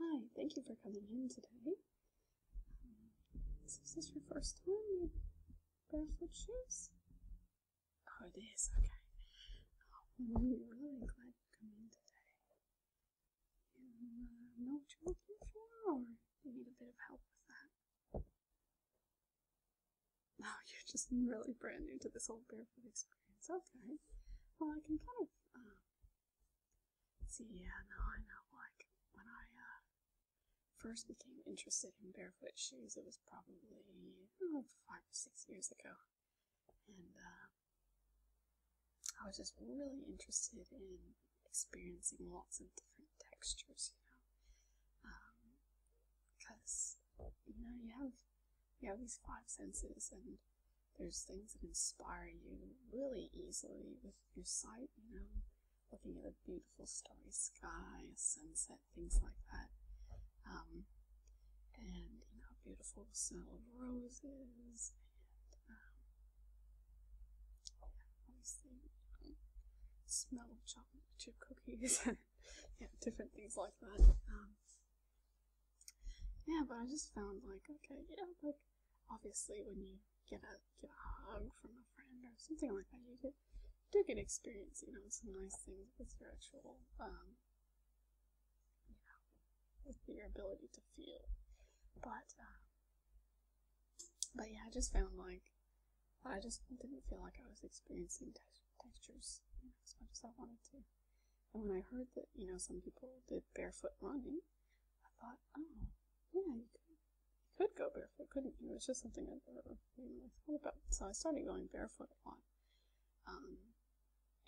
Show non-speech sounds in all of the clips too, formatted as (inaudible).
Hi, thank you for coming in today. is this your first time in barefoot shoes? Oh, this. okay. Oh, well, I'm really glad you come in today. You uh, know what you're looking for, or you need a bit of help with that? Oh, you're just really brand new to this whole barefoot experience. Okay. Well, I can kind of uh, see. Yeah, no, I know. Like when I uh, first became interested in barefoot shoes, it was probably five or six years ago, and uh, I was just really interested in experiencing lots of different textures, you know, because um, you know you have you have these five senses, and there's things that inspire you really easily with your sight, you know, looking at a beautiful starry sky, a sunset, things like that, um, and you know, beautiful smell of roses. Um, smell of chocolate chip cookies and (laughs) yeah, different things like that. Um, yeah, but I just found like okay, yeah, like obviously when you get a get a hug from a friend or something like that, you get do get experience, you know, some nice things with your actual um, you know, with your ability to feel. But uh, but yeah, I just found like I just didn't feel like I was experiencing textures as much as I wanted to. And when I heard that you know some people did barefoot running, I thought, oh yeah, you could, go barefoot, couldn't you? It was just something i never thought about. So I started going barefoot a lot. Um,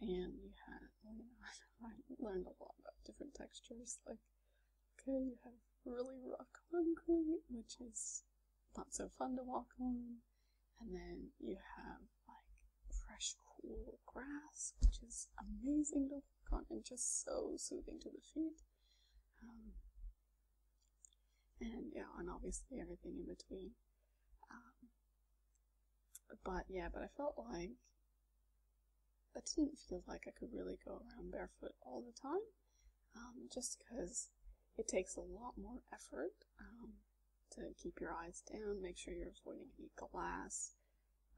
and you had, you know, (laughs) I learned a lot about different textures, like Okay, you have really rough concrete, which is not so fun to walk on. And then you have like fresh, cool grass, which is amazing to walk on and just so soothing to the feet. Um, and yeah, and obviously everything in between. Um, but yeah, but I felt like I didn't feel like I could really go around barefoot all the time. Um, just because it takes a lot more effort um, to keep your eyes down, make sure you're avoiding any glass,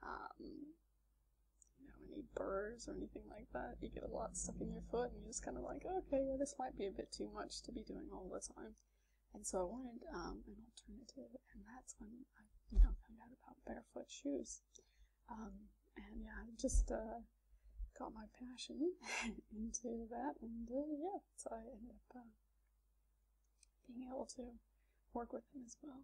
um, you know, any burrs or anything like that. You get a lot stuck in your foot, and you're just kind of like, okay, yeah, this might be a bit too much to be doing all the time. And so I wanted an alternative, and that's when I you know, found out about barefoot shoes. Um, and yeah, I just uh, got my passion (laughs) into that, and uh, yeah, so I ended up uh, being able to work with them as well.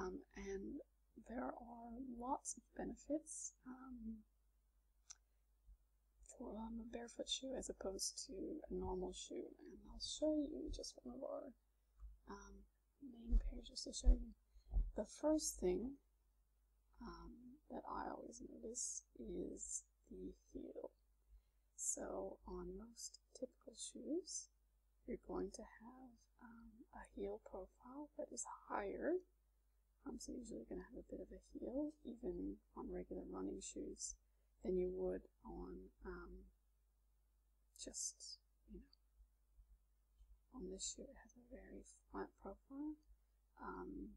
Um, and there are lots of benefits um, for a barefoot shoe as opposed to a normal shoe. And I'll show you just one of our main pairs, just to show you. The first thing um, that I always notice is the heel. So on most typical shoes, you're going to have um, a heel profile that is higher. Um, so usually going to have a bit of a heel, even on regular running shoes, than you would on um, just, you know, on this shoe it has a very flat profile. Um,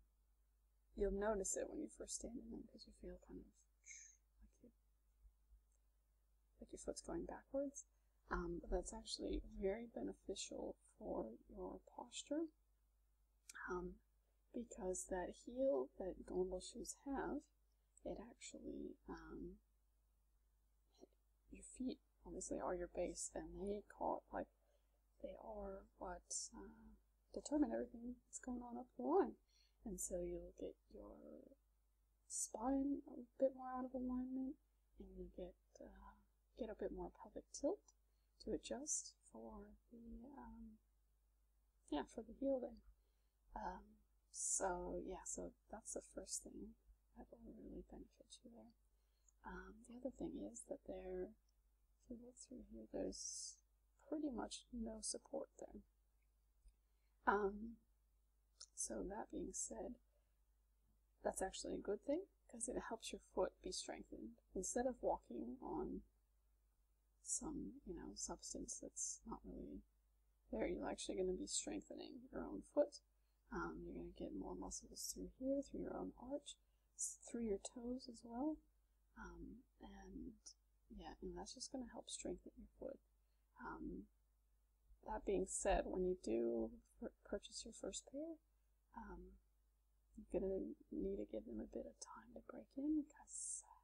you'll notice it when you first stand in them because you feel kind of like, you, like your foot's going backwards. Um, but that's actually very beneficial for your posture um, because that heel that normal shoes have, it actually, your feet obviously are your base, and they call like they are what uh, determine everything that's going on up the line. And so you'll get your spine a bit more out of alignment, and you get uh, get a bit more pelvic tilt to adjust for the um, yeah for the healing. Um, so yeah, so that's the first thing that will really benefit you there. Um, the other thing is that there, if you look through here, there's pretty much no support there. Um, so that being said, that's actually a good thing because it helps your foot be strengthened. Instead of walking on some, you know, substance that's not really there, you're actually going to be strengthening your own foot um, you're going to get more muscles through here, through your own arch, through your toes as well. Um, and yeah, and that's just going to help strengthen your foot. Um, that being said, when you do purchase your first pair, um, you're going to need to give them a bit of time to break in because uh,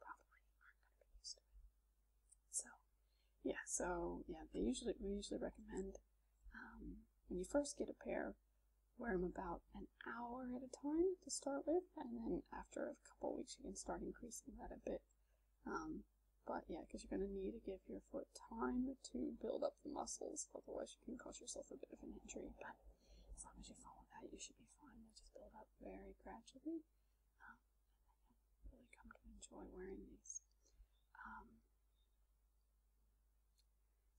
probably aren't going to be used to it. So, yeah, so yeah, they usually we usually recommend um, when you first get a pair, wear them about an hour at a time to start with, and then after a couple weeks, you can start increasing that a bit. Um, but yeah, because you're going to need to give your foot time to build up the muscles, otherwise you can cause yourself a bit of an injury. But as long as you follow that, you should be fine. they just build up very gradually, um, and really come to enjoy wearing these. Um,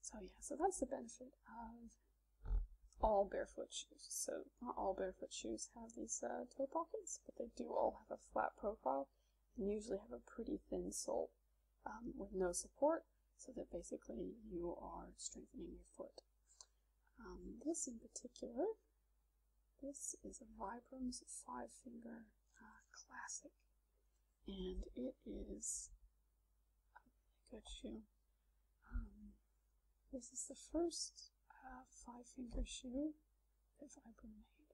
so yeah, so that's the benefit of all barefoot shoes. So not all barefoot shoes have these uh, toe pockets, but they do all have a flat profile and usually have a pretty thin sole um, with no support so that basically you are strengthening your foot. Um, this in particular, this is a Vibrams five finger uh, classic and it is. Oh, I got you. Um, this is the first uh, five finger shoe that Vibram made.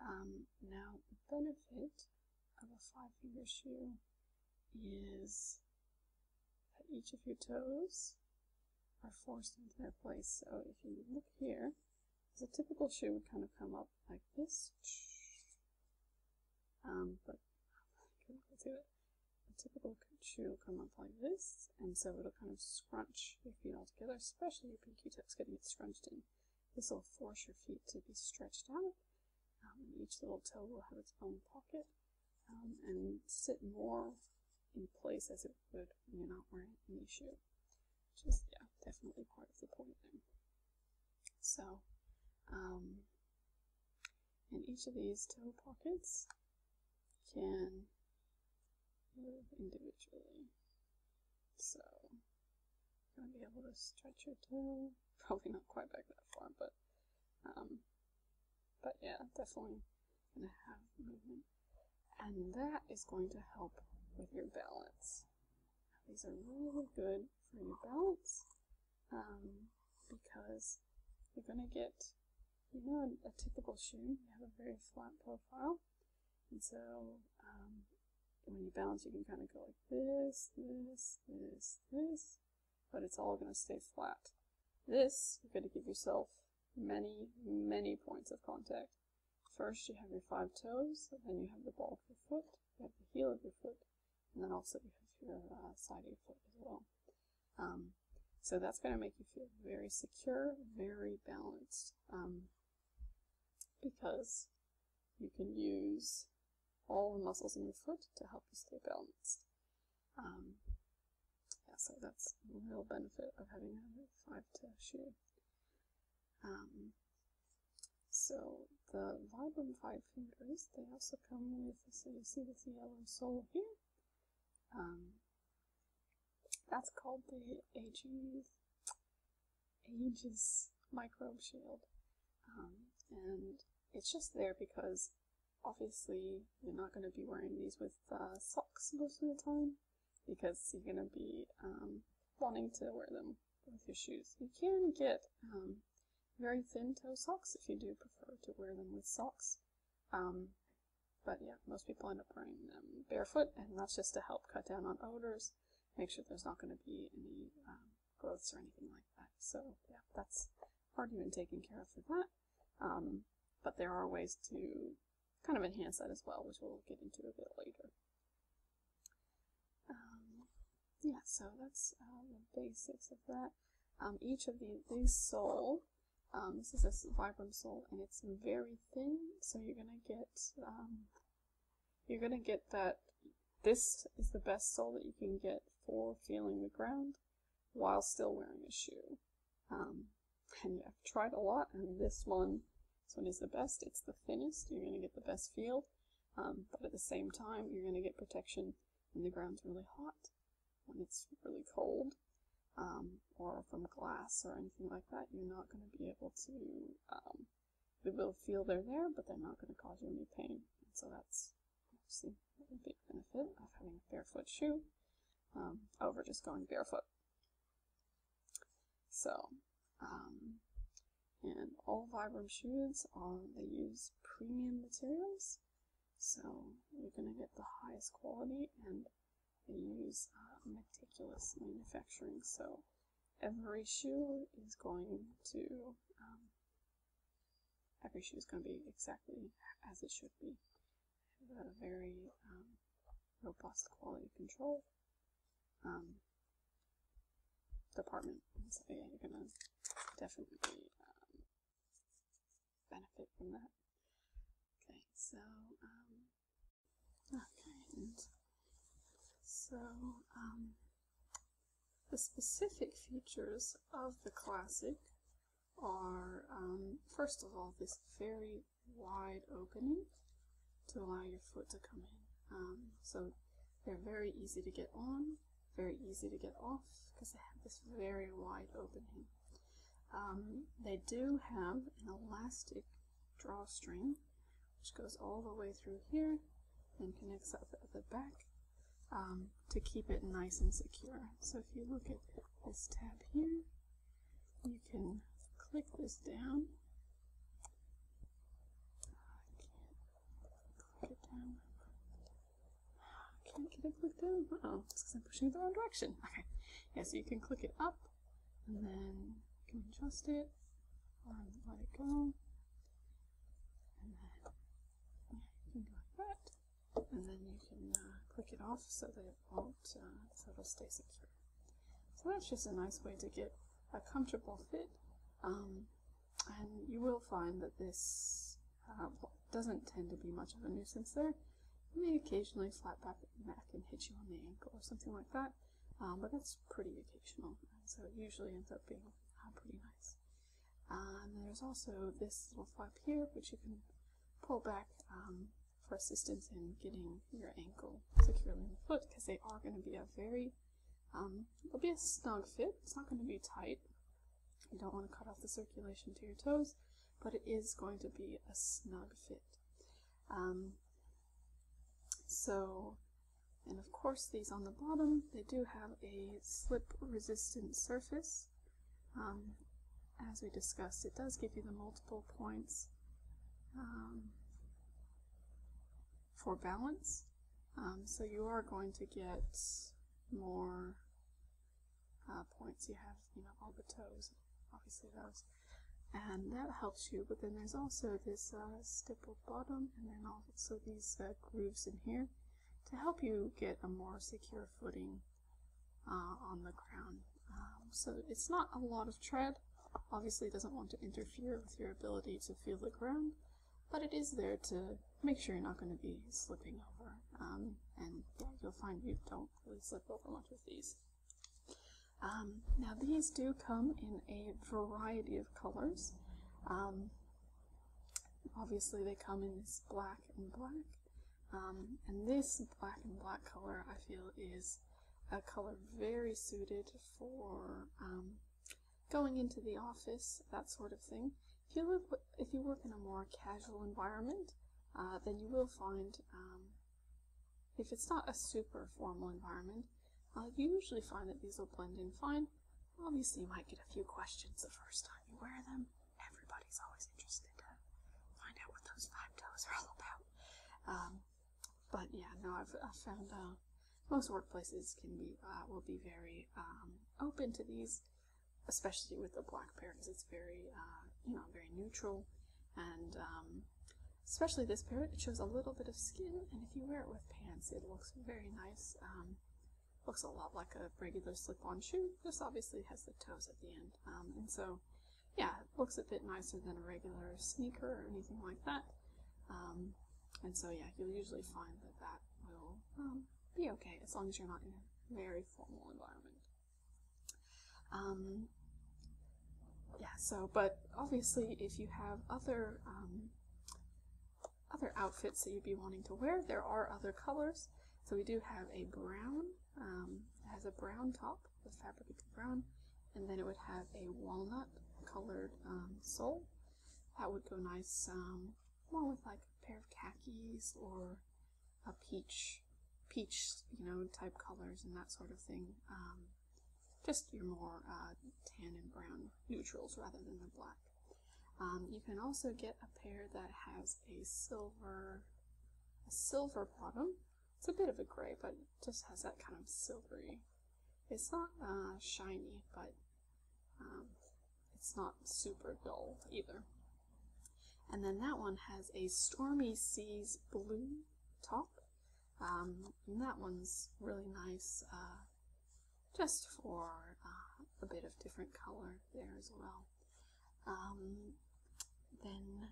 Um, now, the benefit of a five finger shoe is that each of your toes are forced into their place. So if you look here, as a typical shoe would kind of come up like this. Um, but do it. A typical shoe will come up like this, and so it'll kind of scrunch your feet all together, especially if your Q-tip's getting it scrunched in. This will force your feet to be stretched out, um, and each little toe will have its own pocket, um, and sit more in place as it would when you're not wearing any shoe. Just, yeah, definitely part of the point there. So, um, and each of these toe pockets can move individually. So, you're going to be able to stretch your toe. (laughs) Probably not quite back that far, but, um, but yeah, definitely going to have movement. And that is going to help with your balance. These are really good important for your balance um, because you're going to get, you know, a, typical shoe, you have a very flat profile. And so um, when you balance, you can kind of go like this, this, this, this, but it's all going to stay flat. This, you're going to give yourself many, many points of contact. First, you have your five toes, then you have the ball of your foot you have the heel of your foot, and then also you have your uh, side of your foot as well. Um, so that's going to make you feel very secure, very balanced, um, because you can use all the muscles in your foot to help you stay balanced. Um, yeah, so that's a real benefit of having a five-toe shoe. So the Vibram Five Fingers, they also come with, so you see this yellow sole here. Um, that's called the Aegis, Aegis Microbe Shield. Um, and it's just there because obviously you're not going to be wearing these with uh, socks most of the time because you're going to be um, wanting to wear them with your shoes. You can get um, very thin toe socks if you do prefer to wear them with socks. Um, but yeah, most people end up wearing them barefoot, and that's just to help cut down on odors, make sure there's not going to be any um, growths or anything like that. So yeah, that's already been taken care of for that. but there are ways to kind of enhance that as well, which we'll get into a bit later. Um, yeah, so that's um, the basics of that. Um, each of the, these sole, this is a vibram sole, and it's very thin, so you're gonna get you're gonna get that. This is the best sole that you can get for feeling the ground while still wearing a shoe. and I've tried a lot, and this one, this one is the best. It's the thinnest. You're gonna get the best feel. Um, but at the same time, you're going to get protection when the ground's really hot, when it's really cold, um, or from glass or anything like that. You're not going to be able to, um, be feel they're there, but they're not going to cause you any pain. so that's obviously a big benefit of having a barefoot shoe um, over just going barefoot. So um, and all Vibram shoes are, they use premium materials. So you're going to get the highest quality and they use uh, meticulous manufacturing. So every shoe is going to, um, every shoe is going to be exactly as it should be. very um, robust quality control um, department. So yeah, you're gonna definitely um, benefit from that. Okay, so um, ah, okay, so um, the specific features of the classic are um, first of all this very wide opening to allow your foot to come in. Um, so they're very easy to get on, very easy to get off, because they have this very wide opening. Um, they do have an elastic drawstring, which goes all the way through here and connects at the back um, to keep it nice and secure. So if you look at this tab here, you can click this down. Get down. Ah, I can't get it clicked down. oh it's because I'm pushing it the wrong direction. Okay. Yeah, so you can click it up, and then you can adjust it, um, let it go, and then yeah, you can go like that, and then you can uh, click it off so that it won't, uh, so it'll stay secure. So that's just a nice way to get a comfortable fit um, and you will find that this uh, doesn't tend to be much of a nuisance there. it may occasionally flap back at your neck and hit you on the ankle or something like that, um, but that's pretty occasional, so it usually ends up being uh, pretty nice. and there's also this little flap here, which you can pull back um, for assistance in getting your ankle securely in the foot, because they are going to be a very um, it'll be a snug fit. It's not going to be tight. You don't want to cut off the circulation to your toes, but it is going to be a snug fit. Um, so, and of course these on the bottom, they do have a slip resistant surface. Um, as we discussed, it does give you the multiple points. Um, for balance. Um, so you are going to get more uh, points. You have, you know, all the toes, obviously those. And that helps you, but then there's also this uh, stippled bottom and then also these uh, grooves in here to help you get a more secure footing uh, on the ground. Um, so it's not a lot of tread. Obviously doesn't want to interfere with your ability to feel the ground, but it is there to make sure you're not going to be slipping over. Um, and yeah, you'll find you don't really slip over much with these. Um, now these do come in a variety of colors. Um, obviously they come in this black and black. and this black and black color I feel is a color very suited for going into the office, that sort of thing. If you, live, if you work in a more casual environment, uh, then you will find, um, if it's not a super formal environment, uh, you usually find that these will blend in fine. Obviously, you might get a few questions the first time you wear them. Everybody's always interested to find out what those five toes are all about. Um, but yeah, no, I've, I've found uh, most workplaces can be uh, will be very um, open to these, especially with the black pair because It's very uh, you know very neutral, and um, especially this pair, It shows a little bit of skin, and if you wear it with pants, it looks very nice. Um, looks a lot like a regular slip-on shoe. This obviously has the toes at the end, um, and so yeah, looks a bit nicer than a regular sneaker or anything like that. Um, and so yeah, you'll usually find that that will um, be okay as long as you're not in a very formal environment. Um, yeah, so, but obviously if you have other, um, other outfits that you'd be wanting to wear, there are other colors. So we do have a brown, um, it has a brown top, the fabric is brown, and then it would have a walnut colored um, sole, that would go nice um, more with like a pair of khakis or a peach, peach, you know, type colors and that sort of thing. Um, just your more uh, tan and brown neutrals rather than the black. Um, you can also get a pair that has a silver, a silver bottom. It's a bit of a gray, but just has that kind of silvery. It's not uh, shiny, but um, it's not super dull either. And then that one has a Stormy Seas blue top. Um, and that one's really nice uh, just for uh, a bit of different color there as well. Um, then,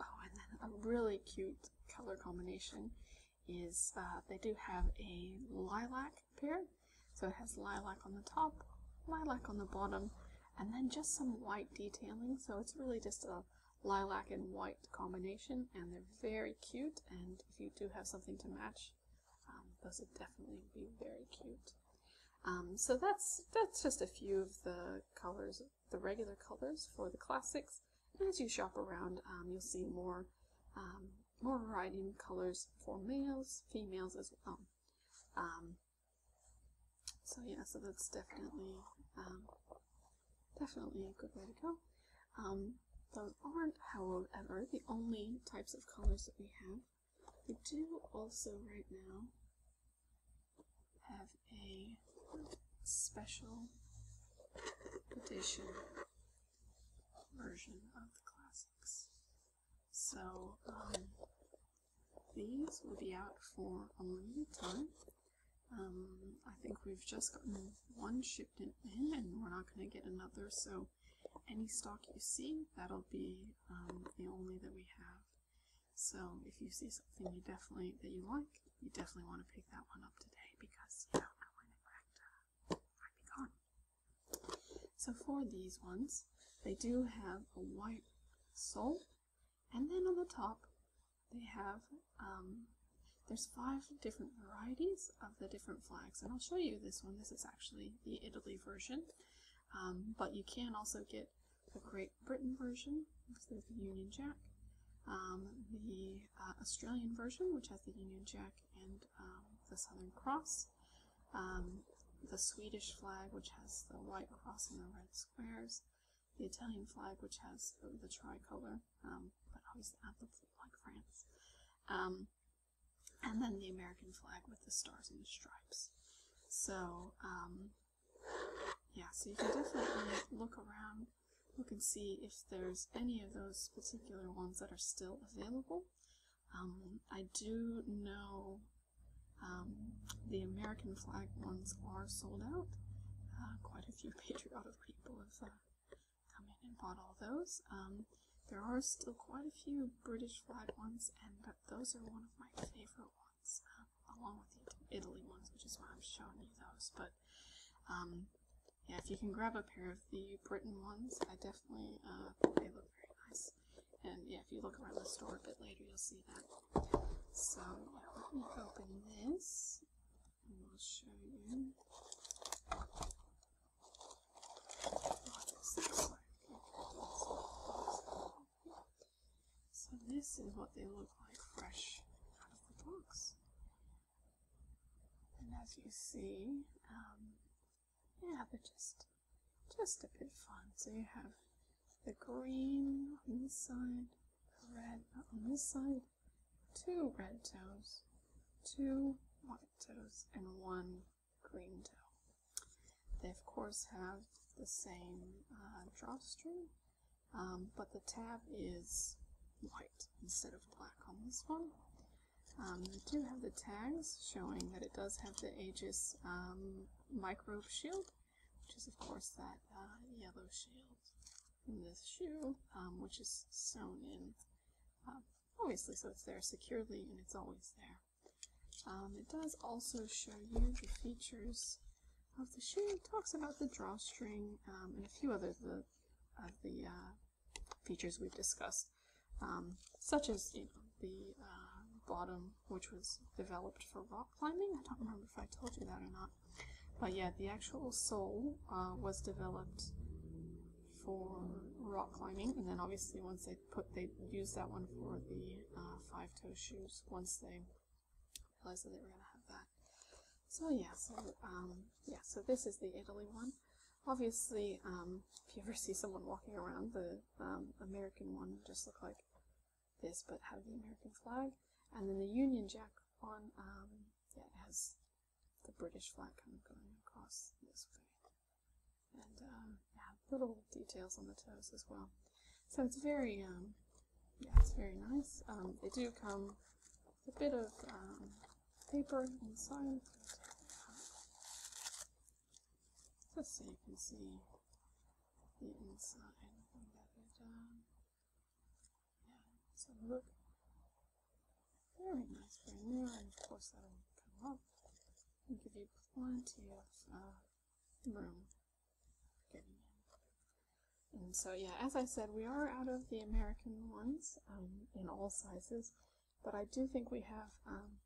oh, and then a really cute color combination is uh, they do have a lilac here, So it has lilac on the top, lilac on the bottom, and then just some white detailing. So it's really just a lilac and white combination, and they're very cute. And if you do have something to match, um, those would definitely be very cute. Um, so that's that's just a few of the colors, the regular colors for the classics. And as you shop around, um, you'll see more more variety in colors for males, females as well. Um, so yeah, so that's definitely um, definitely a good way to go. Um, those aren't, however, the only types of colors that we have. We do also right now have a special edition version of the classics. So, um, these will be out for a limited time. Um, I think we've just gotten one shipment in and we're not going to get another, so any stock you see, that'll be um, the only that we have. So if you see something you definitely that you like, you definitely want to pick that one up today because you don't know when it might be gone. So for these ones, they do have a white sole, and then on the top they have, um, there's five different varieties of the different flags, and I'll show you this one. This is actually the Italy version, um, but you can also get the Great Britain version, because there's the Union Jack, um, the uh, Australian version, which has the Union Jack and um, the Southern Cross, um, the Swedish flag, which has the white cross and the red squares, the Italian flag, which has the tricolor, um, but obviously not the like France, and then the American flag with the stars and stripes. So, yeah, so you can definitely look around, look and see if there's any of those particular ones that are still available. Um, I do know um, the American flag ones are sold out. Uh, quite a few (laughs) patriotic people have uh, come in and bought all those. Um, there are still quite a few British flag ones, and those are one of my favorite ones, uh, along with the Italy ones, which is why I'm showing you those. But yeah, if you can grab a pair of the Britain ones, I definitely, uh, they look very nice. And yeah, if you look around the store a bit later, you'll see that. So yeah, let me open this and we'll show you So this is what they look like fresh out of the box. And as you see, um, yeah, they're just, just a bit fun. So you have the green on this side, the red on this side, two red toes, two white toes, and one green toe. They of course have the same uh, drawstring, um, but the tab is white instead of black on this one. I um, do have the tags showing that it does have the Aegis um, microbe shield, which is of course that uh, yellow shield in this shoe, um, which is sewn in, um, obviously, so it's there securely and it's always there. it does also show you the features of the shoe. It talks about the drawstring and a few other the, of the uh, features we've discussed, um, such as you know the uh, bottom, which was developed for rock climbing. I don't remember if I told you that or not, but yeah, the actual sole uh, was developed for rock climbing, and then obviously once they put they used that one for the uh, five toe shoes once they realized that they were gonna have that. So yeah, um, yeah, so this is the Italy one. Obviously, um, if you ever see someone walking around, the um, American one just look like this, but have the American flag. And then the Union Jack on, um, yeah, it has the British flag kind of going across this way. And um, yeah, little details on the toes as well. So it's very, um, yeah, it's very nice. Um, they do come with a bit of um, paper inside. Just so you can see the inside when that is done. Yeah, so look. Very nice brand new, and of course that'll come up and give you plenty of uh, room And so yeah, as I said, we are out of the American ones um, in all sizes but I do think we have um,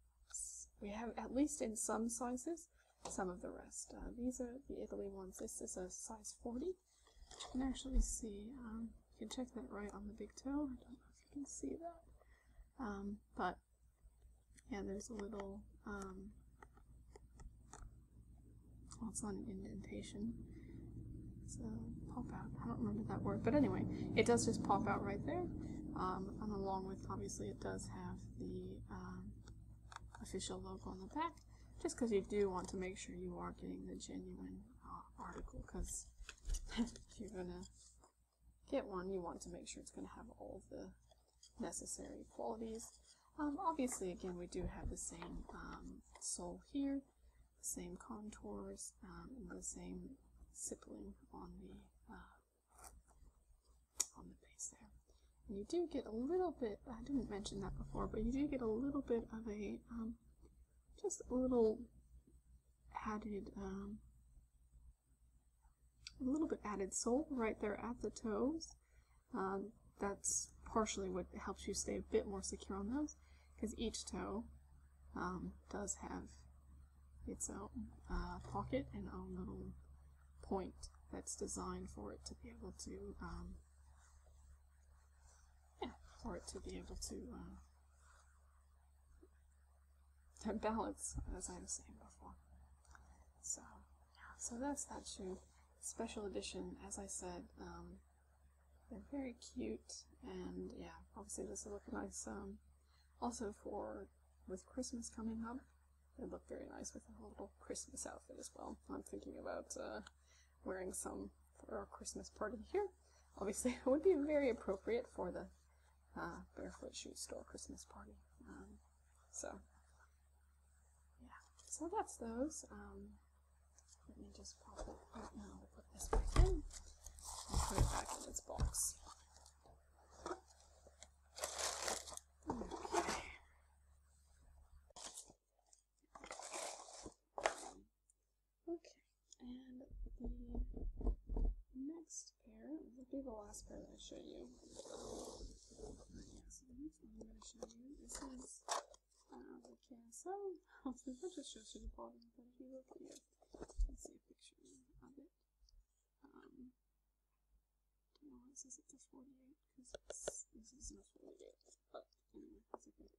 we have at least in some sizes some of the rest. Uh, these are the Italy ones. This is a size 40. You can actually see, um, you can check that right on the big toe. I don't know if you can see that. Um, but yeah, there's a little, well, it's not an indentation. So pop out. I don't remember that word, but anyway, it does just pop out right there. Um, along with, obviously, it does have the um, official logo on the back, just because you do want to make sure you are getting the genuine uh, article, because if (laughs) you're gonna get one, you want to make sure it's going to have all the necessary qualities. Um, obviously, again, we do have the same um, sole here, same contours um, and the same stippling on the uh, on the base there. And you do get a little bit, I didn't mention that before, but you do get a little bit of a, um, just a little added, um, a little bit added sole right there at the toes. that's partially what helps you stay a bit more secure on those, because each toe um, does have its own uh, pocket and own little point that's designed for it to be able to um, yeah, for it to be able to uh, (laughs) balance, as I was saying before. So, so that's that shoe. Special edition, as I said, um, they're very cute, and yeah, obviously this will look nice um, also for, with Christmas coming up, it'd look very nice with a little Christmas outfit as well. I'm thinking about uh, wearing some for our Christmas party here. Obviously, (laughs) it would be very appropriate for the uh, Barefoot Shoe Store Christmas party. Um, so, yeah. So that's those. Um, let me just pop it. now. put this back in and put it back in its box. Okay. Okay, and the next pair would be the last pair that I show you. Yeah, so the one I'm going to show you this is uh, the KSL. I was going to just show you the bottom, but if you look here, Let's see a picture of it. Um, don't know it says 48 because this is not 48, but anyway, it's okay.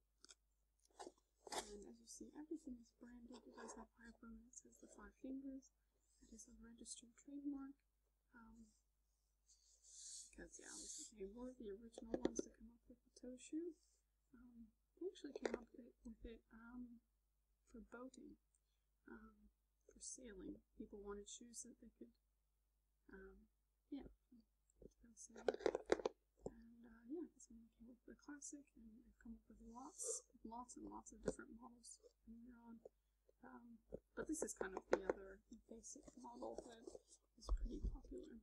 And as you see, everything is branded. It does have hyperlink. It says the five fingers. That is a registered trademark. Um, because yeah, this became one the original ones to come up with the toe shoe. Um, we actually came up with it um, for boating, um, for sailing. People wanted shoes that they could, um, yeah, go sailing. And uh, yeah, that's when came up with the classic, and they have come up with lots, lots and lots of different models from on. Um, but this is kind of the other basic model that is pretty popular.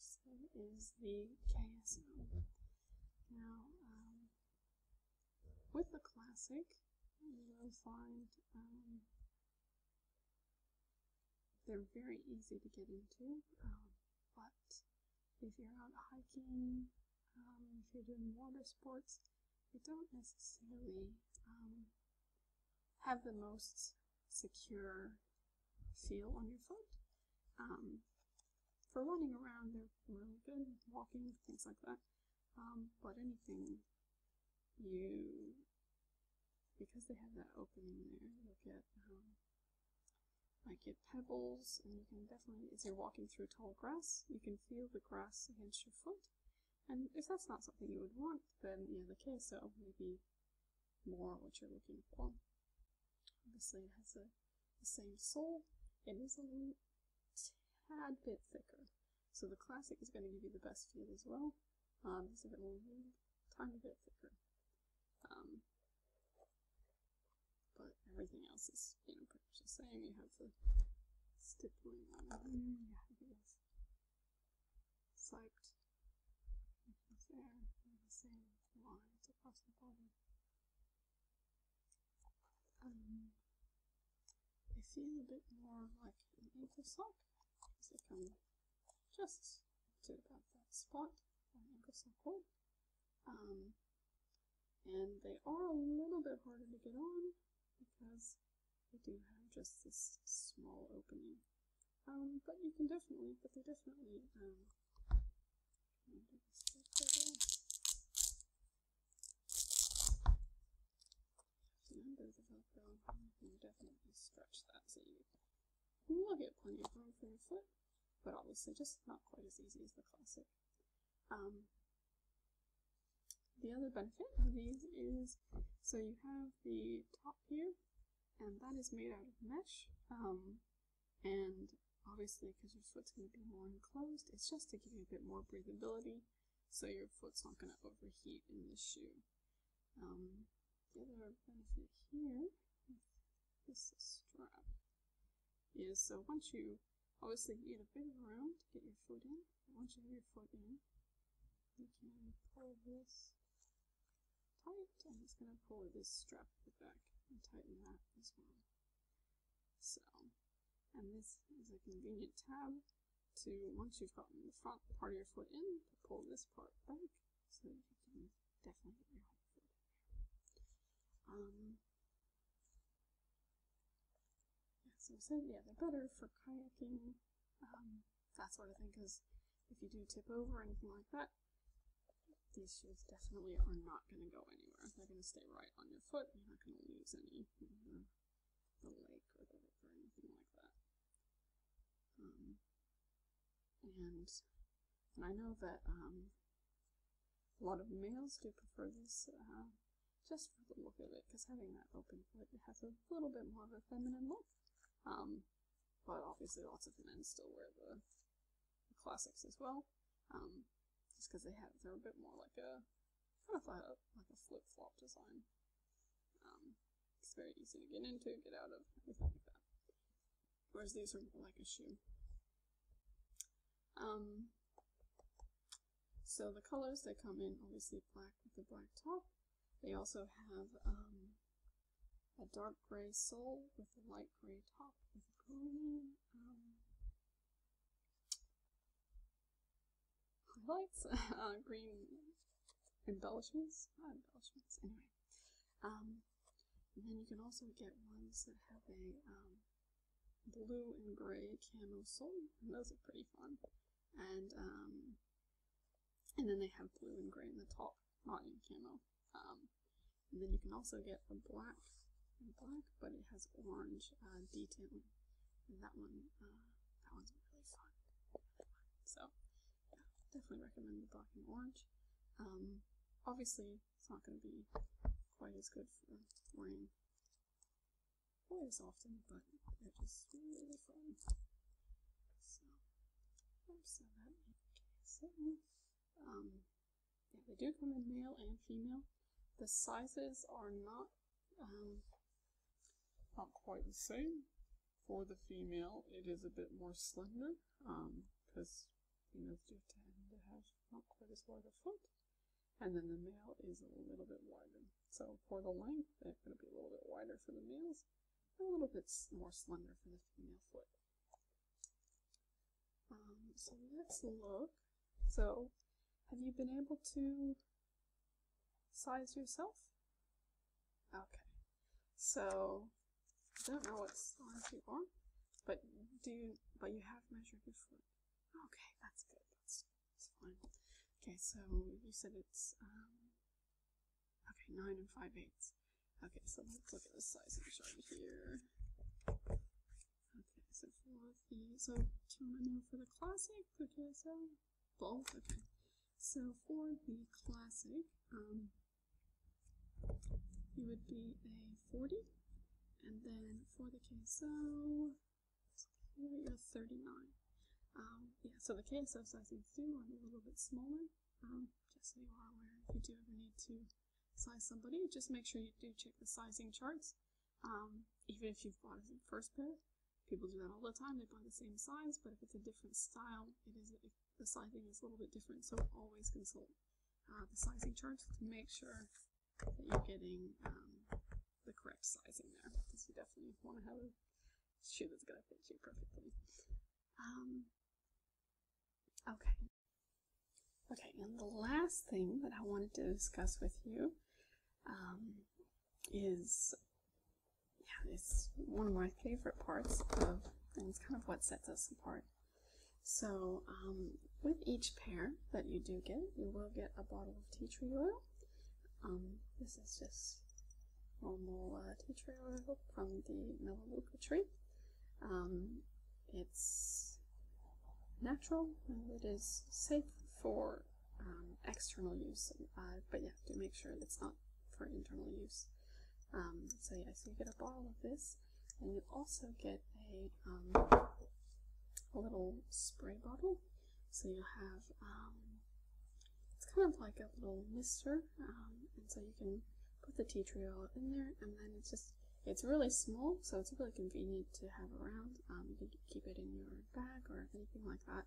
So is the KSL. Now, um, with the classic, you'll find um, they're very easy to get into, um, but if you're out hiking, if you're doing water sports, you don't necessarily have the most secure feel on your foot. Um, for running around, they're really good, walking, things like that. Um, but anything you, because they have that opening there, you'll get, um, like get pebbles, and you can definitely, as you're walking through tall grass, you can feel the grass against your foot. And if that's not something you would want, then, yeah, the queso, maybe more what you're looking for. Obviously, it has the same sole. It is a tad bit thicker. So the classic is going to give you the best feel as well. Um, it's a bit more wool, tiny bit thicker. Um, but everything else is, you know, pretty much the same. You have the stippling on it. you have this siped it's there, and the same lines across the body. Um, I feel a bit more like an ankle sock because they come just to about that spot where an ankle sock would. Um, and they are a little bit harder to get on because they do have just this small opening. Um, but you can definitely, but they definitely, um, under definitely stretch that so you will get plenty of room for your foot, but obviously just not quite as easy as the classic. Um, the other benefit of these is, so you have the top here, and that is made out of mesh. Um, and obviously, because your foot's going to be more enclosed, it's just to give you a bit more breathability so your foot's not going to overheat in the shoe. Um, the other benefit here is this strap is so once you obviously you need a bit of room to get your foot in, once you have your foot in, you can pull this tight. I'm just going to pull this strap back and tighten that as well. So, and this is a convenient tab to, once you've gotten the front part of your foot in, to pull this part back so that you can definitely get your whole foot in there. Um, yeah, so I said, yeah, they're better for kayaking. Um, that sort of thing, because if you do tip over anything like that, these shoes definitely are not going to go anywhere. They're going to stay right on your foot. You're not going to lose any the, the leg or anything like that. Um, and, I know that um, a lot of males do prefer this uh, just for the look of it, because having that open foot has a little bit more of a feminine look. Um, but obviously lots of men still wear the, classics as well. Um, just because they have, they're a bit more like a, kind of like like a flip-flop design. Um, it's very easy to get into, get out of, everything like that. Whereas these are more like a shoe. Um, so the colors, they come in obviously black with a black top. They also have a dark gray sole with a light gray top with green um, highlights, (laughs) uh, green embellishments, embellishments, anyway. Um, then you can also get ones that have a um, blue and gray camel sole, and those are pretty fun. And um, and then they have blue and gray in the top not in camo. Um, then you can also get a black and black, but it has orange uh, detailing, that one uh, that one's really fun. So definitely recommend the black and orange. Um, obviously, it's not going to be quite as good for wearing quite as often, but it is really fun. So Oh, so that okay, so um, yeah, they do come in male and female. The sizes are not um, not quite the same. For the female, it is a bit more slender because um, females do tend to have not quite as wide a foot, and then the male is a little bit wider. So for the length, it's going to be a little bit wider for the males, a little bit more slender for the female foot. Um, so let's look. So, have you been able to size yourself? Okay. So, I don't know what size you are, but do you, but you have measured before. Okay, that's good. That's, fine. Okay, so you said it's um, Okay, nine and five eighths. Okay, so let's look at the sizing chart here. Okay, so for the, so do you want to know for the classic, the KSL? Both, okay. So for the classic, um, you would be a 40, and then for the KSO, here thirty 39. Um, yeah, so the KSO sizings do are a little bit smaller. Um, just so you are aware if you do ever need to size somebody, just make sure you do check the sizing charts. Um, even if you've bought a first pair, people do that all the time. They buy the same size, but if it's a different style, it is the sizing is a little bit different. So always consult uh, the sizing charts to make sure that you're getting um, the correct sizing there, because you definitely want to have a shoe that's going to fit you perfectly. Um, Okay. Okay, and the last thing that I wanted to discuss with you um, is yeah, it's one of my favorite parts of and it's kind of what sets us apart. So um, with each pair that you do get, you will get a bottle of tea tree oil. Um, this is just normal uh, tea tree oil from the Melaleuca tree. Um, it's natural and it is safe for um, external use, uh, but yeah, do make sure it's not for internal use. Um, so yes, you get a bottle of this, and you also get a, um, a little spray bottle. So you have, um, it's kind of like a little mister, um, and so you can put the tea tree oil in there, and then it's just it's really small, so it's really convenient to have around. Um, you can keep it in your bag or anything like that.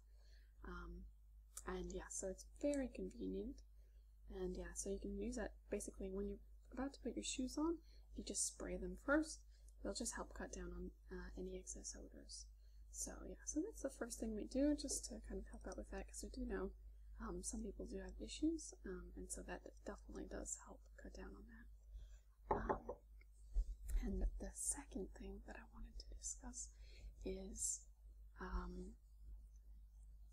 Um, and yeah, so it's very convenient. And yeah, so you can use that basically when you're about to put your shoes on, If you just spray them first. It'll just help cut down on uh, any excess odors. So yeah, so that's the first thing we do just to kind of help out with that because we do know um, some people do have issues, um, and so that definitely does help cut down on that. Um, and the second thing that I wanted to discuss is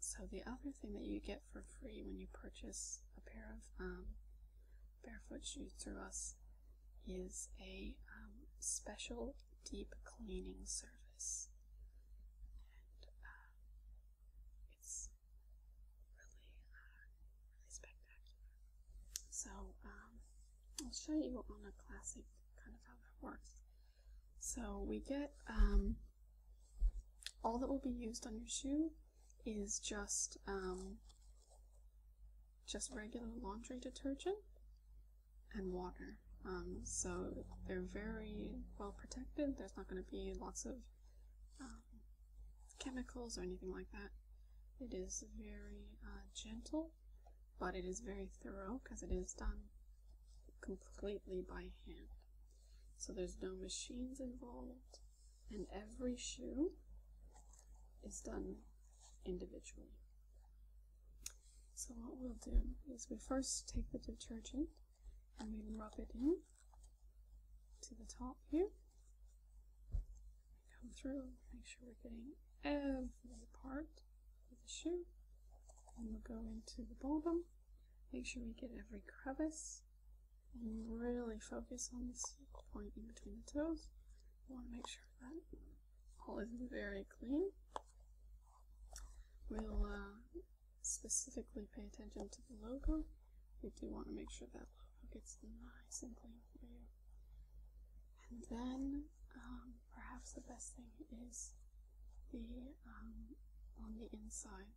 so the other thing that you get for free when you purchase a pair of barefoot shoes through us is a special deep cleaning service. Uh, it's really, uh, really spectacular. So um, I'll show you on a classic kind of how that works. So we get um, all that will be used on your shoe is just um, just regular laundry detergent and water. Um, so they're very well protected. There's not going to be lots of um, chemicals or anything like that. It is very uh, gentle, but it is very thorough because it is done completely by hand. So there's no machines involved, and every shoe is done individually. So what we'll do is we first take the detergent and we rub it in to the top here. Come through, make sure we're getting every part of the shoe. And we'll go into the bottom, make sure we get every crevice, and really focus on this point in between the toes. We want to make sure that all is very clean. We'll uh, specifically pay attention to the logo. We do want to make sure that logo gets nice and clean for you. And then, um, perhaps the best thing is the um, on the inside.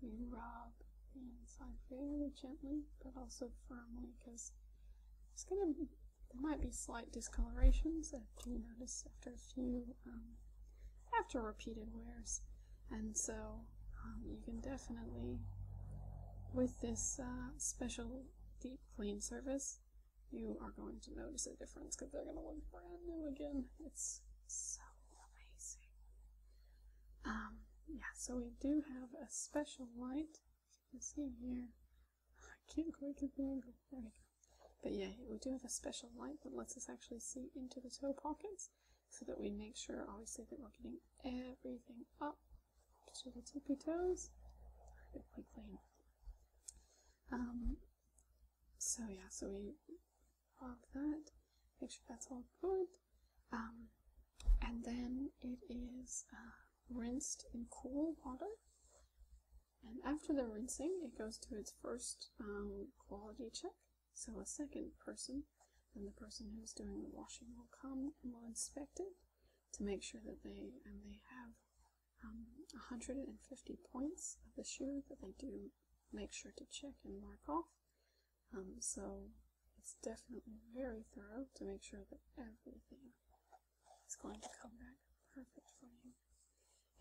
You rub the inside very gently, but also firmly, because it's gonna there might be slight discolorations if you notice after a few um, after repeated wears. And so um, you can definitely, with this uh, special deep clean service, you are going to notice a difference because they're going to look brand new again. It's so amazing. Um, yeah, so we do have a special light. you can see here, (laughs) I can't quite get the angle. There we go. But yeah, we do have a special light that lets us actually see into the toe pockets so that we make sure obviously that we're getting everything up to the tippy toes perfectly clean. Um, so yeah, so we rub that, make sure that's all good. Um, and then it is uh, rinsed in cool water. And after the rinsing, it goes to its first um, quality check. So a second person and the person who's doing the washing will come and will inspect it to make sure that they and they have um, 150 points of the shoe that they do make sure to check and mark off. Um, so it's definitely very thorough to make sure that everything is going to come back perfect for you.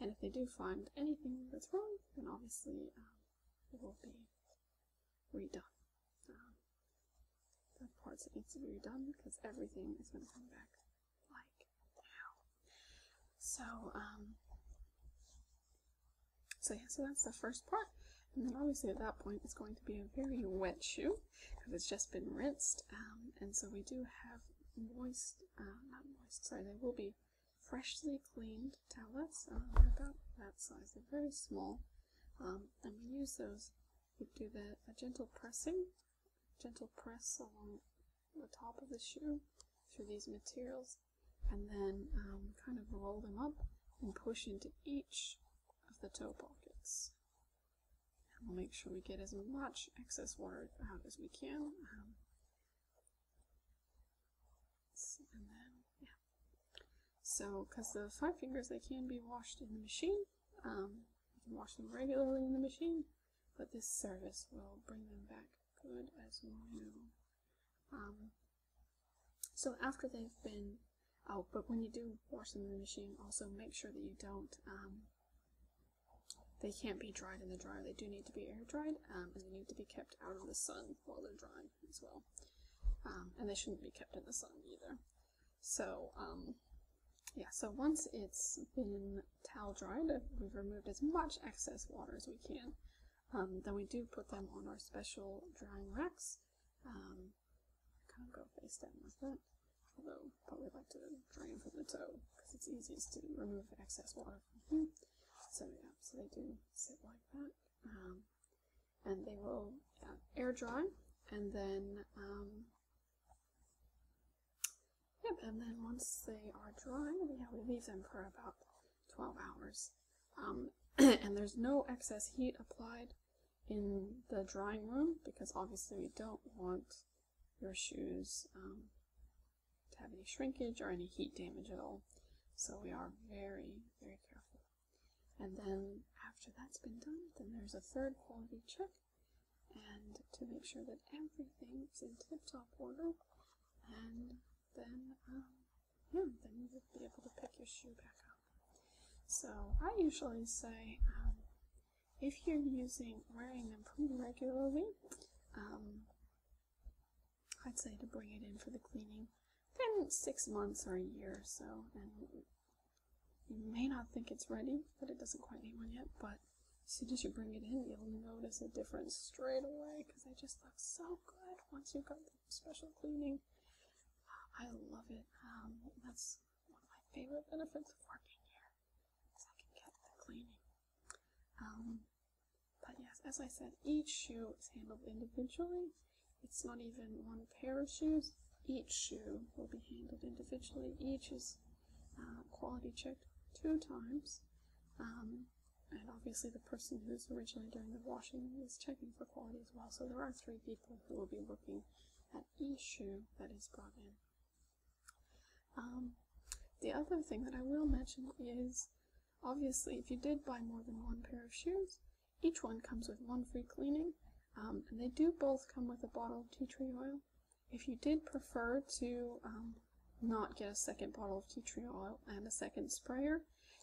And if they do find anything that's wrong, then obviously um, will be redone. Um, the parts that needs to be redone because everything is going to come back like now. So, um, so yeah, so that's the first part. And then obviously at that point it's going to be a very wet shoe because it's just been rinsed. Um, and so we do have moist, uh, not moist, sorry, they will be freshly cleaned towels, um, about that size. They're very small. Um, and we use those. We do the a gentle pressing, gentle press along the top of the shoe through these materials, and then um, kind of roll them up and push into each of the toe pockets. we'll make sure we get as much excess water out as we can. So, because the five fingers, they can be washed in the machine. Um, you can wash them regularly in the machine, but this service will bring them back good as new. Um, so after they've been, oh, but when you do wash them in the machine, also make sure that you don't, um, they can't be dried in the dryer. They do need to be air dried, and they need to be kept out of the sun while they're drying as well. Um, and they shouldn't be kept in the sun either. So, um, yeah, so once it's been towel dried, we've removed as much excess water as we can. Um, then we do put them on our special drying racks. Um, kind of go face down with that, although probably like to drain from the toe because it's easiest to remove excess water from here. So yeah, so they do sit like that. Um, and they will um, air dry and then um, yep, and then once they are dry, we, leave them for about 12 hours. (clears throat) and there's no excess heat applied in the drying room because obviously we don't want your shoes to have any shrinkage or any heat damage at all. So we are very, very careful. And then after that's been done, then there's a third quality check and to make sure that everything is in tip-top order and then um, yeah, then you would be able to pick your shoe back up. So I usually say um, if you're using wearing them pretty regularly, um, I'd say to bring it in for the cleaning. Then six months or a year or so, and you may not think it's ready, but it doesn't quite need one yet. But as soon as you bring it in, you'll notice a difference straight away because they just look so good once you've got the special cleaning. I love it. Um, that's one of my favorite benefits of working here is I can get the cleaning. Um, but yes, as I said, each shoe is handled individually. It's not even one pair of shoes. Each shoe will be handled individually. Each is uh, quality checked two times. Um, and obviously the person who's originally doing the washing is checking for quality as well. So there are three people who will be looking at each shoe that is brought in. Um, the other thing that I will mention is Obviously, if you did buy more than one pair of shoes, each one comes with one free cleaning, um, and they do both come with a bottle of tea tree oil. If you did prefer to um, not get a second bottle of tea tree oil and a second sprayer,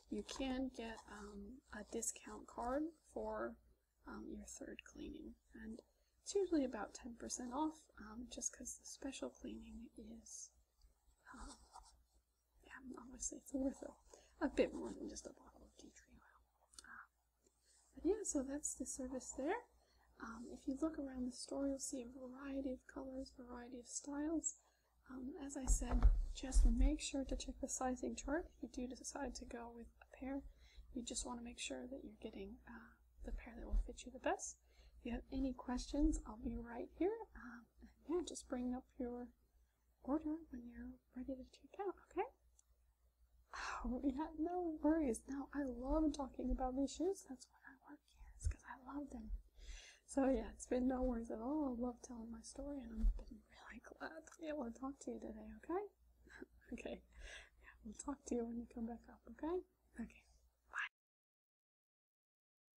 you can get um, a discount card for your third cleaning. And it's usually about 10% off just because the special cleaning is yeah, obviously it's worth a, a bit more than just a bottle of tea tree oil. Ah. but yeah, so that's the service there. Um, if you look around the store, you'll see a variety of colors, variety of styles. Um, as I said, just make sure to check the sizing chart. If you do decide to go with a pair, you just want to make sure that you're getting uh, the pair that will fit you the best. If you have any questions, I'll be right here. Um, yeah, just bring up your order when you're ready to check out, okay? Oh, yeah, no worries. Now, I love talking about these shoes. That's what I work here, is because I love them. So, yeah, it's been no worries at all. I love telling my story, and I've been really glad to be able to talk to you today, okay? (laughs) okay. Yeah, we'll talk to you when you come back up, okay? Okay.